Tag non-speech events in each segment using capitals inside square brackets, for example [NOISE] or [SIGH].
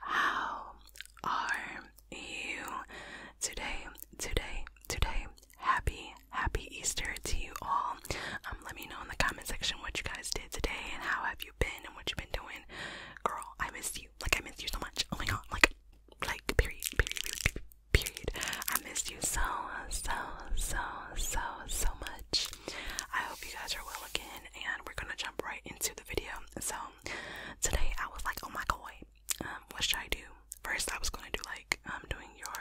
How are you today? Today, today. Happy, happy Easter to you all. Um, let me know in the comment section what you guys did today and how have you been and what you've been doing. Girl, I missed you. Like I missed you so much. Oh my god, like like period, period, period, I missed you so, so, so, so, so much. I hope you guys are well again and we're gonna jump right into the video. So today I was like, oh my god, um, what should I do? First, I was gonna do like um doing your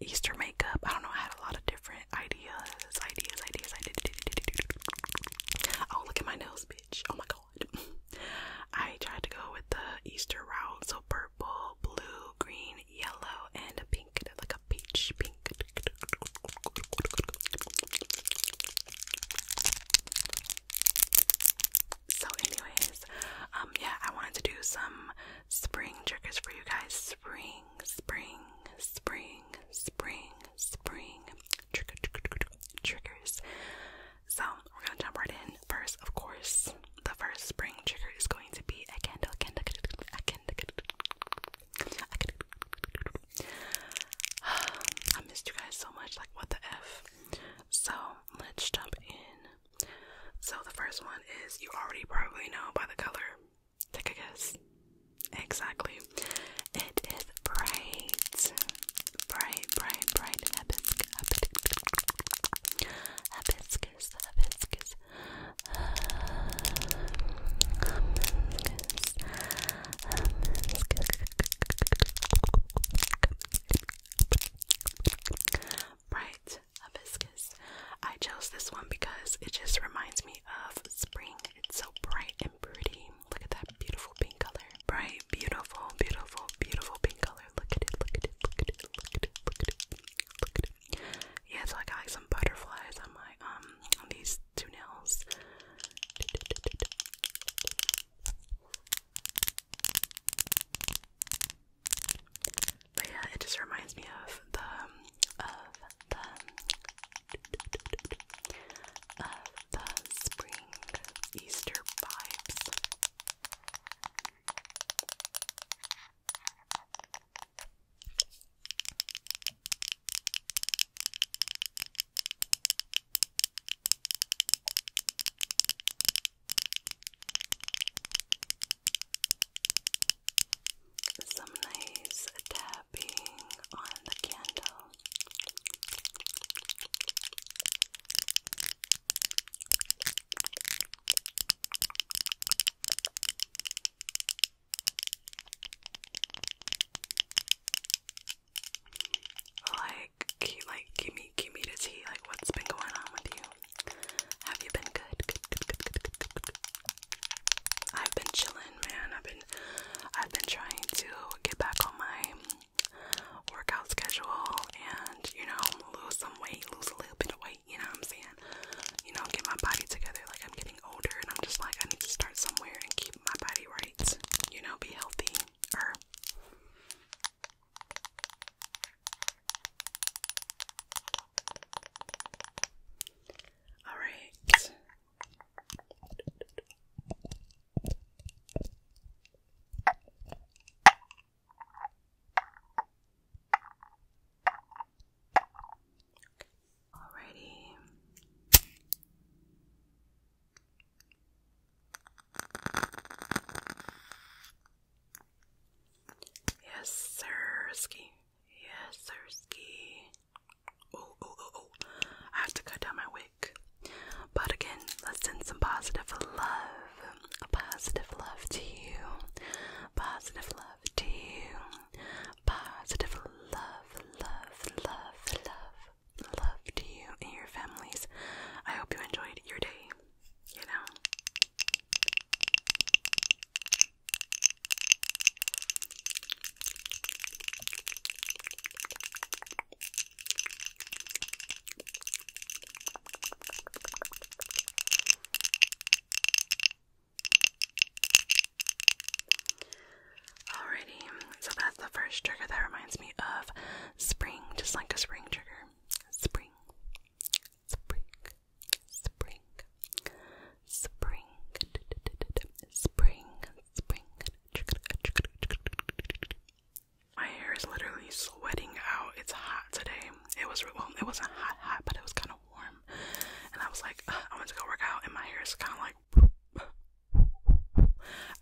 Easter makeup. I don't know. I had a lot of different ideas, ideas, ideas. I did. did, did, did, did. Oh, look at my nails, bitch! Oh my god. [LAUGHS] I tried to go with the Easter route, so purple, blue, green, yellow, and a pink, like a peach pink. So, anyways, um, yeah, I wanted to do some spring triggers for you guys. Spring, spring, spring, spring, spring triggers. So, we're gonna jump right in. First, of course, the first spring trigger is going to be a candle, candle, candle, [SIGHS] I missed you guys so much, like what the F. So let's jump in. So the first one is you already probably know by the color. Take a guess. Exactly. It is bright. Bright, bright, bright. Hibiscus. Hibiscus. Hibiscus. [SIGHS] bright hibiscus. I chose this one because it just reminds me of spring. It's so bright and pretty. Look at that beautiful pink color. Bright, beautiful, beautiful, beautiful pink color. Look at it, look at it, look at it, look at it, look at it, look at it. Yeah, so I got like some butterflies on my um these two nails. But yeah, it just reminds me of the um, of the of the spring Easter vibes. Some nice tapping on the candle. Like, like, give me, give me the tea. Like, what's been going on with you? Have you been good? I've been chilling, man. I've been, I've been trying to get back on my workout schedule and you know lose some weight, lose a little bit of weight. You know what I'm saying? You know, get my body together. Like, I'm getting older, and I'm just like, I need to start somewhere and keep my body right. You know, be healthy all right. Alrighty. Yes, sir, Yes, sir, Oh, oh, oh, oh. I have to cut down my wig. But again, let's send some positive love. positive love to you. Positive love to you. Positive love, love, love, love, love to you and your families. I hope you enjoyed your day, you know. Alrighty, so that's the first trigger that reminds me of spring, just like a spring trigger. Spring, spring, spring, spring, spring, spring. My hair is literally sweating out. It's hot today. It was well, it wasn't hot, hot, but it was kind of warm, and I was like, I went to go work out, and my hair is kind of like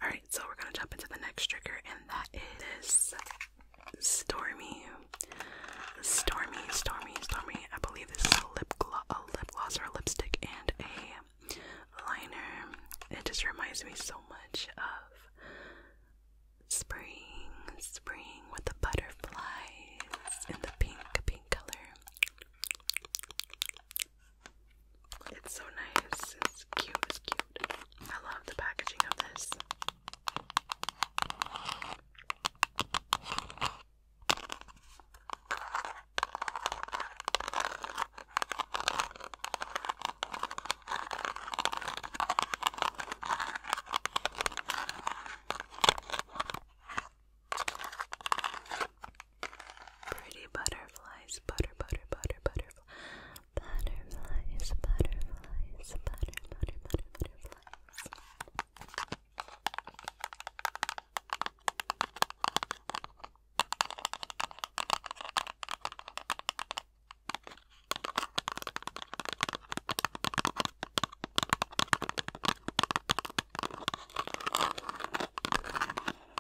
Alright, so we're gonna jump into the next trigger, and that is Stormy. Stormy, Stormy, Stormy. I believe this is a lip, glo a lip gloss or a lipstick and a liner. It just reminds me so much of spring, spring with the butterflies and the pink, pink color. It's so nice. It's cute. It's cute. I love the packaging of this. Pretty butterflies, butter, butter, butter, butterflies, butterflies, butter, butter, butter, Butterflies,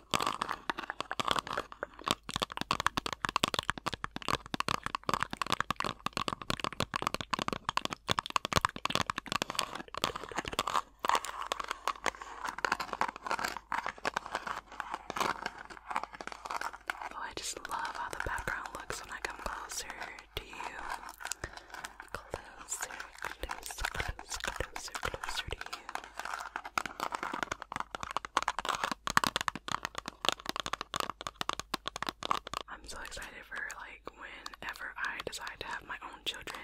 Oh, I just love how the background looks when I come closer to you. Closer, closer, I'm so excited for like whenever I decide to have my own children,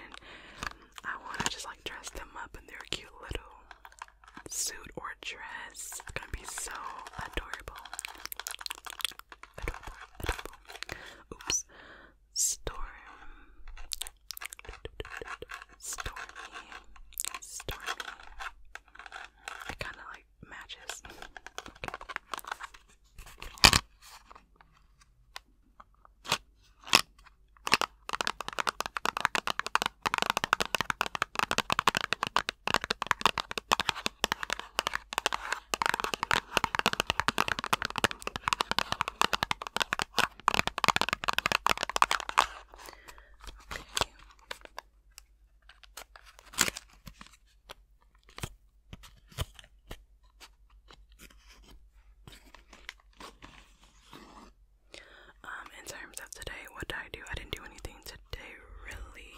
I want to just like dress them up in their cute little suit or dress. It's gonna be so adorable. Adorable, adorable. Oops. Storm. Stormy. Stormy. It kind of like matches. Okay. Um, in terms of today, what did I do? I didn't do anything today, really.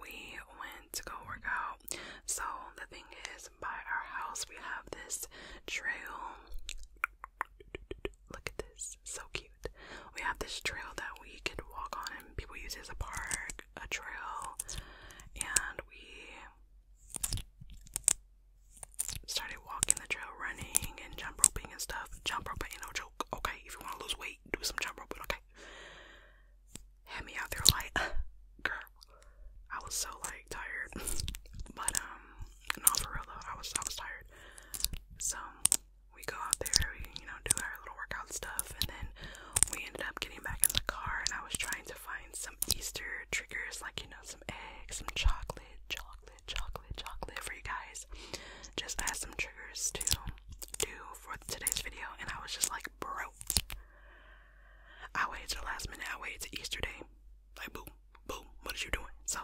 We went to go work out. So, the thing is, by our house, we have this trail Look at this, so cute. We have this trail that we could walk on, and people use as a park, a trail, and we started walking the trail, running and jump roping and stuff. Jump roping, no joke, okay? If you want to lose weight, do some jump roping, okay? Had me out there like, [LAUGHS] girl, I was so like tired, [LAUGHS] but um, no, for real though, I was I was tired. So we go out there, we you know do our little workout stuff, and then we ended up getting back in the car, and I was trying to find some Easter triggers, like you know some eggs, some chocolate, chocolate, chocolate, chocolate for you guys. Just as some triggers to do for today's video, and I was just like, bro. I waited till last minute. I waited to Easter Day like boom, boom, what is you doing? So,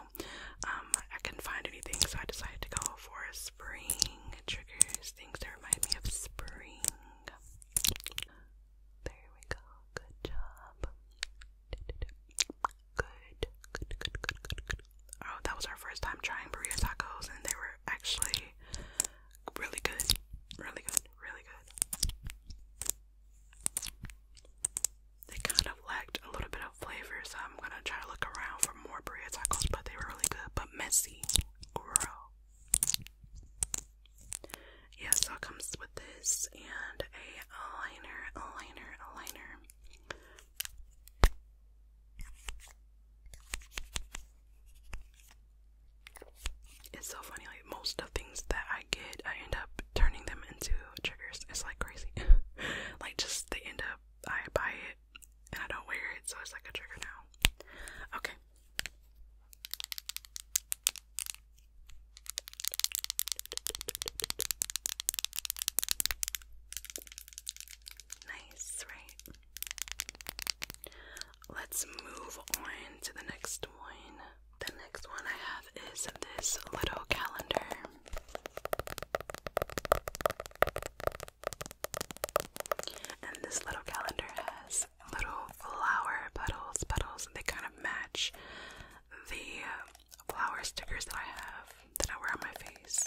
um, I couldn't find anything, so I decided to go for spring triggers, things that remind me of spring. There we go. Good job. Good, good, good, good, good, good. Oh, that was our first time trying burrito tacos, and they were actually really good, really good, really good they kind of lacked a little bit of flavor, I'm gonna try to look around for more burrito tacos, but they were really good, but messy. Girl. Yeah, so it comes with this and a liner, a liner, a liner. It's so funny, like most of things that I get, I end up turning them into triggers is like crazy. [LAUGHS] like just they end up I buy it and I don't wear it, so it's like a trigger now. Okay. Nice, right? Let's move on to the next one. The next one I have is this little calendar. And this little calendar has little flower petals, petals, and they kind of match the flower stickers that I have that I wear on my face.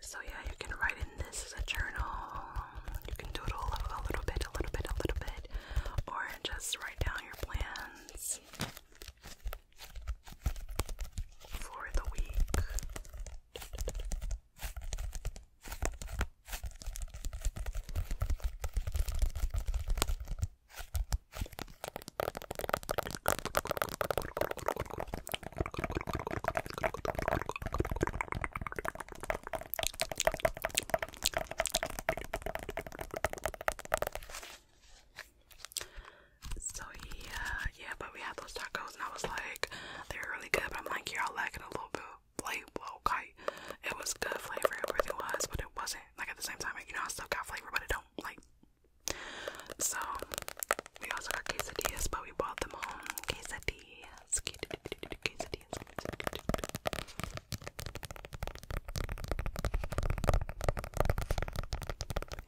So, yeah, you can write in this as a journal. You can doodle a little bit, a little bit, a little bit, or just write down your plans for the week. So yeah, yeah, but we had those tacos and I was like, they were really good, but I'm like, y'all lacking a little bit of flavor, okay? It was good flavor, it really was, but it wasn't like at the same time, you know, I still got flavor, but I don't like. So we also got quesadillas, but we bought them home. Quesadillas, quesadillas.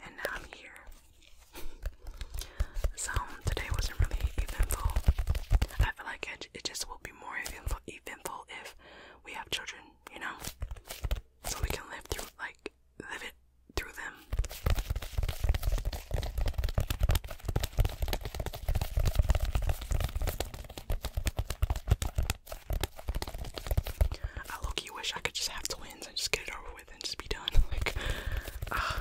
And now I'm here. [LAUGHS] so today wasn't really eventful. I feel like it, it just will be more eventful, eventful if we have children you know? So we can live through, like, live it through them. I low wish I could just have twins and just get it over with and just be done. [LAUGHS] Like, ah.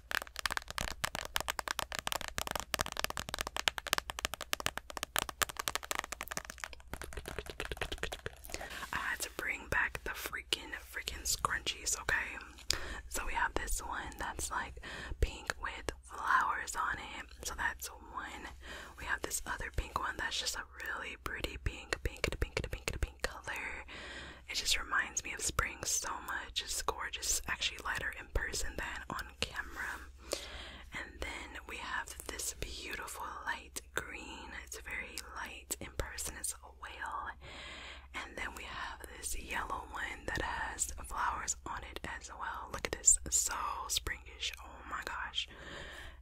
I had to bring back the freaking freaking scrunchies, okay? So we have this one that's like pink with flowers on it. So that's one. We have this other pink one that's just a really pretty pink, pink, pink, pink, pink, pink color. It just reminds me of spring so much. It's gorgeous. Actually, lighter in person than on camera. And then we have this beautiful light green. It's very light in person. It's a whale. And then we have this yellow one that has flowers on it as well. Look at this. So springish. Oh my gosh.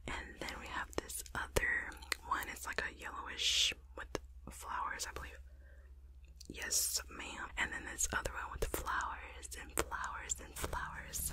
And then we have this other one. It's like a yellowish with flowers, I believe. Yes, ma'am. And then this other one with flowers and flowers and flowers.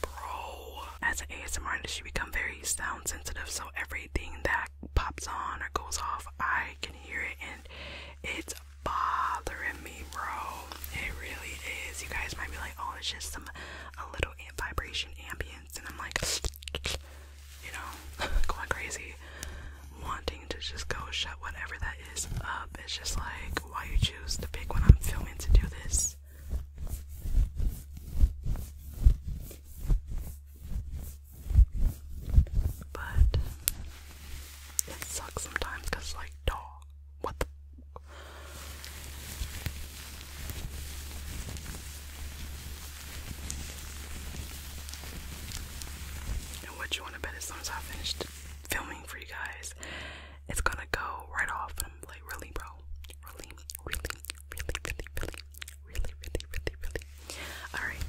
Bro, as an ASMR artist, you become very sound sensitive, so everything that pops on or goes off, I can hear it, and it's bothering me, bro. It really is. You guys might be like, oh, it's just some a little vibration ambience, and I'm like, you know, [LAUGHS] going crazy, wanting to just go shut whatever that is up. It's just like, why you choose the big one I'm filming to do this. But it sucks sometimes because, like, dog, what And what you want to bet as soon as I finish filming for you guys, it's gonna go right off. I'm like, really, bro? Really, really, really, really, really, really, really, really, really, all right.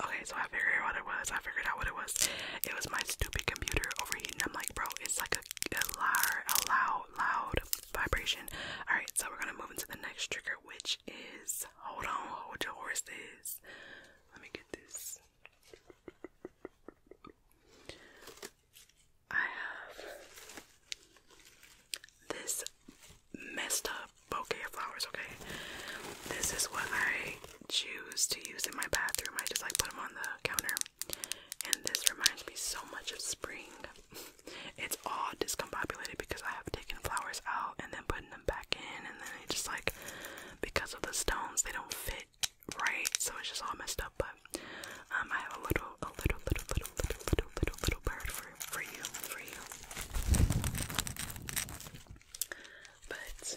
Okay, so I figured out what it was. I figured out what it was. It was my stupid computer overheating. I'm like, bro, it's like a, loud, loud, loud vibration. All right, so we're gonna move into the next trigger, which is hold on, hold your horses. Let me get this. I have this messed up bouquet of flowers, okay? This is what I choose to use in my bathroom. I just like put them on the counter. And this reminds me so much of spring. [LAUGHS] it's all discombobulated because I have taken flowers out and then putting them back in, and then it just like because of the stones, they don't fit right, so it's just all messed up. But um, I have a little, a little, little, little, little, little, little bird for for you, for you. But.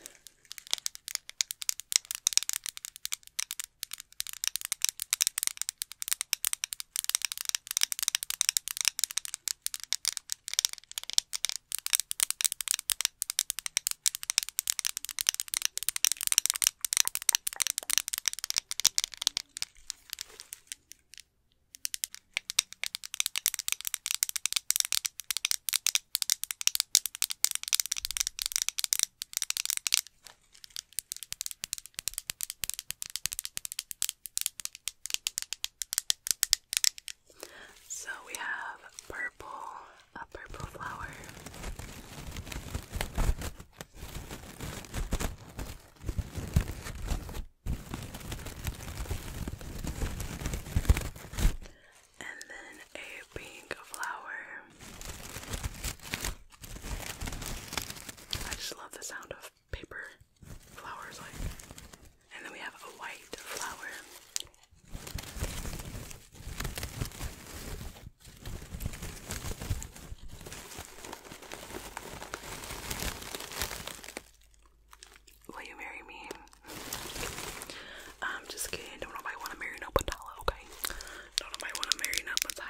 So we have purple a purple flower. And then a pink flower. I just love the sound of paper flowers And then we have a white flower. Will you marry me? I'm just kidding. Don't nobody want to marry no Patala, okay? Don't nobody want to marry no Patala.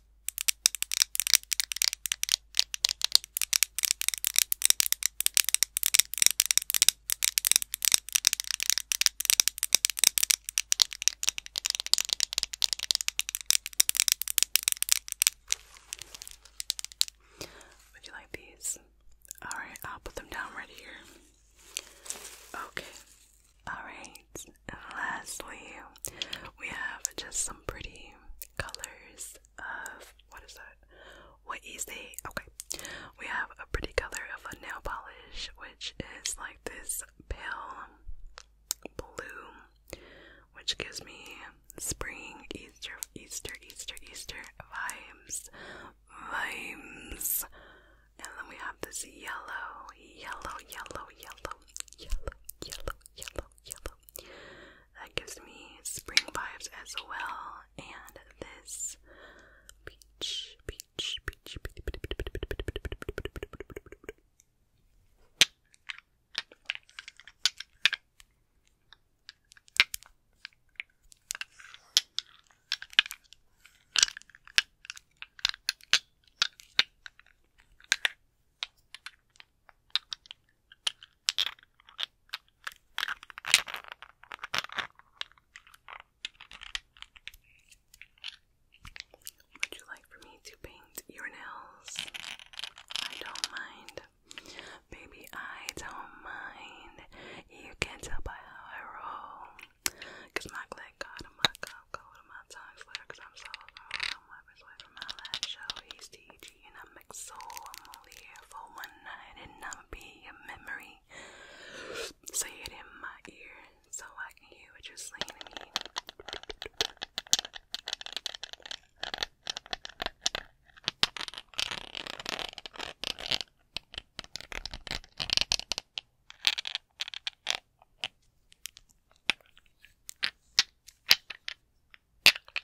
Would you like these? Alright, I'll put them down right here. Okay. Alright. And lastly, we have just some pretty colors of what is that? What is it? Okay, we have a pretty color of a nail polish, which is like this pale blue, which gives me spring, Easter, Easter, Easter, Easter vibes, vibes. And then we have this yellow, yellow, yellow, yellow, yellow, yellow, yellow, yellow, that gives me spring vibes as well. And this peach, peach, peach, peach, peach, peach, peach, peach, peach, peach, peach, peach. Would you like for me to paint your nails? I don't mind. Baby, I don't mind. You can tell by how I roll. Cause my glad God and my cup go to my tongue slayer, cause I'm so low. Lovers Way from Outland Show, he's DG, and I'm Mixel. I'm only here for one night, and i be a memory. Say it in my ear so I can hear you're saying to me.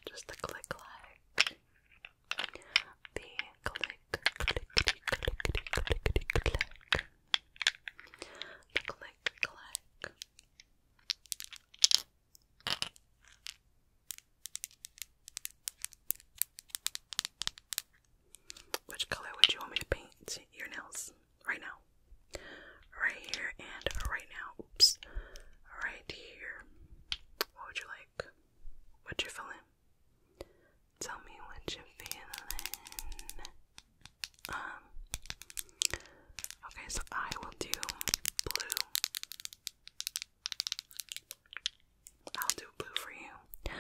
Just the click like. The click, clickety, clickety, clickety, click. The click, click. Which color would you want me to paint your nails? right now. Right here and right now. Oops. Right here. What would you like? What you feeling? Tell me what you feeling. Um. Okay, so I will do blue. I'll do blue for you.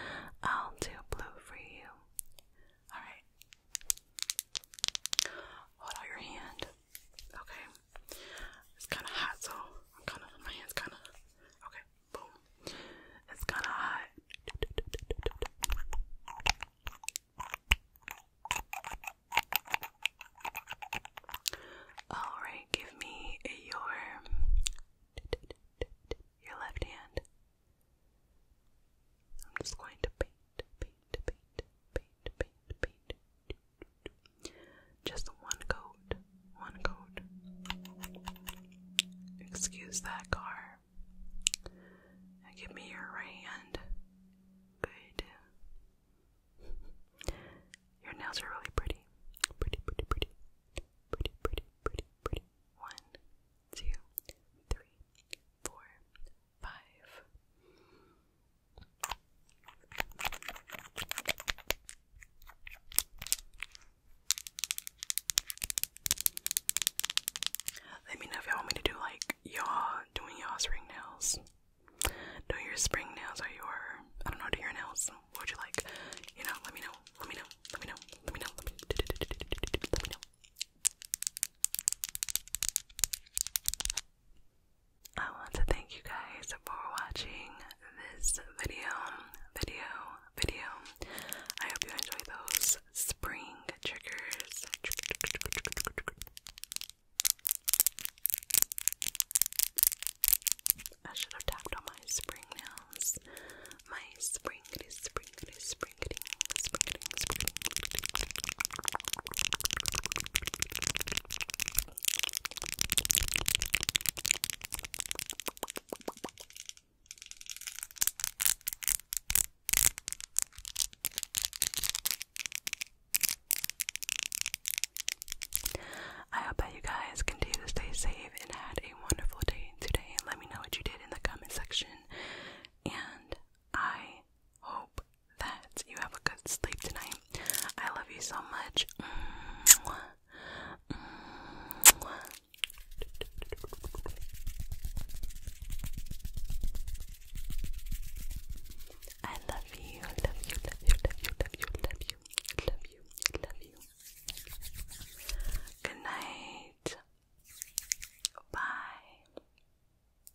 I'll do blue for you. Alright. Hold out your hand. Okay. It's kind of hot, so I'm kind of my hands kind of. Okay. Boom. It's kind of hot. All right. Give me your your left hand. I'm just going to paint, just one coat, one coat. Excuse that car. give me your right hand. Good. Your nails are really pretty. Pretty, pretty, pretty. Pretty, pretty, pretty, pretty. One, two, three, four, five. Let me know if y'all want me to do like y'all doing y'all's ring nails. Do your spring nails or your I don't know, do your nails. What would you like? You know. Let me know. Let me know. Let me know. Let me know. Let me know. I want to thank you guys for watching this video, video, video. I hope you enjoy those spring triggers. I should have tapped on my spring nails. My springity, springity, springity, springity, I hope that you guys continue to stay safe and had a wonderful day today. Let me know what you did in the comment section. And I hope that you have a good sleep tonight. I love you so much. I love you, love you, love you, love you, love you, love you, love you, love you. Good night. Bye.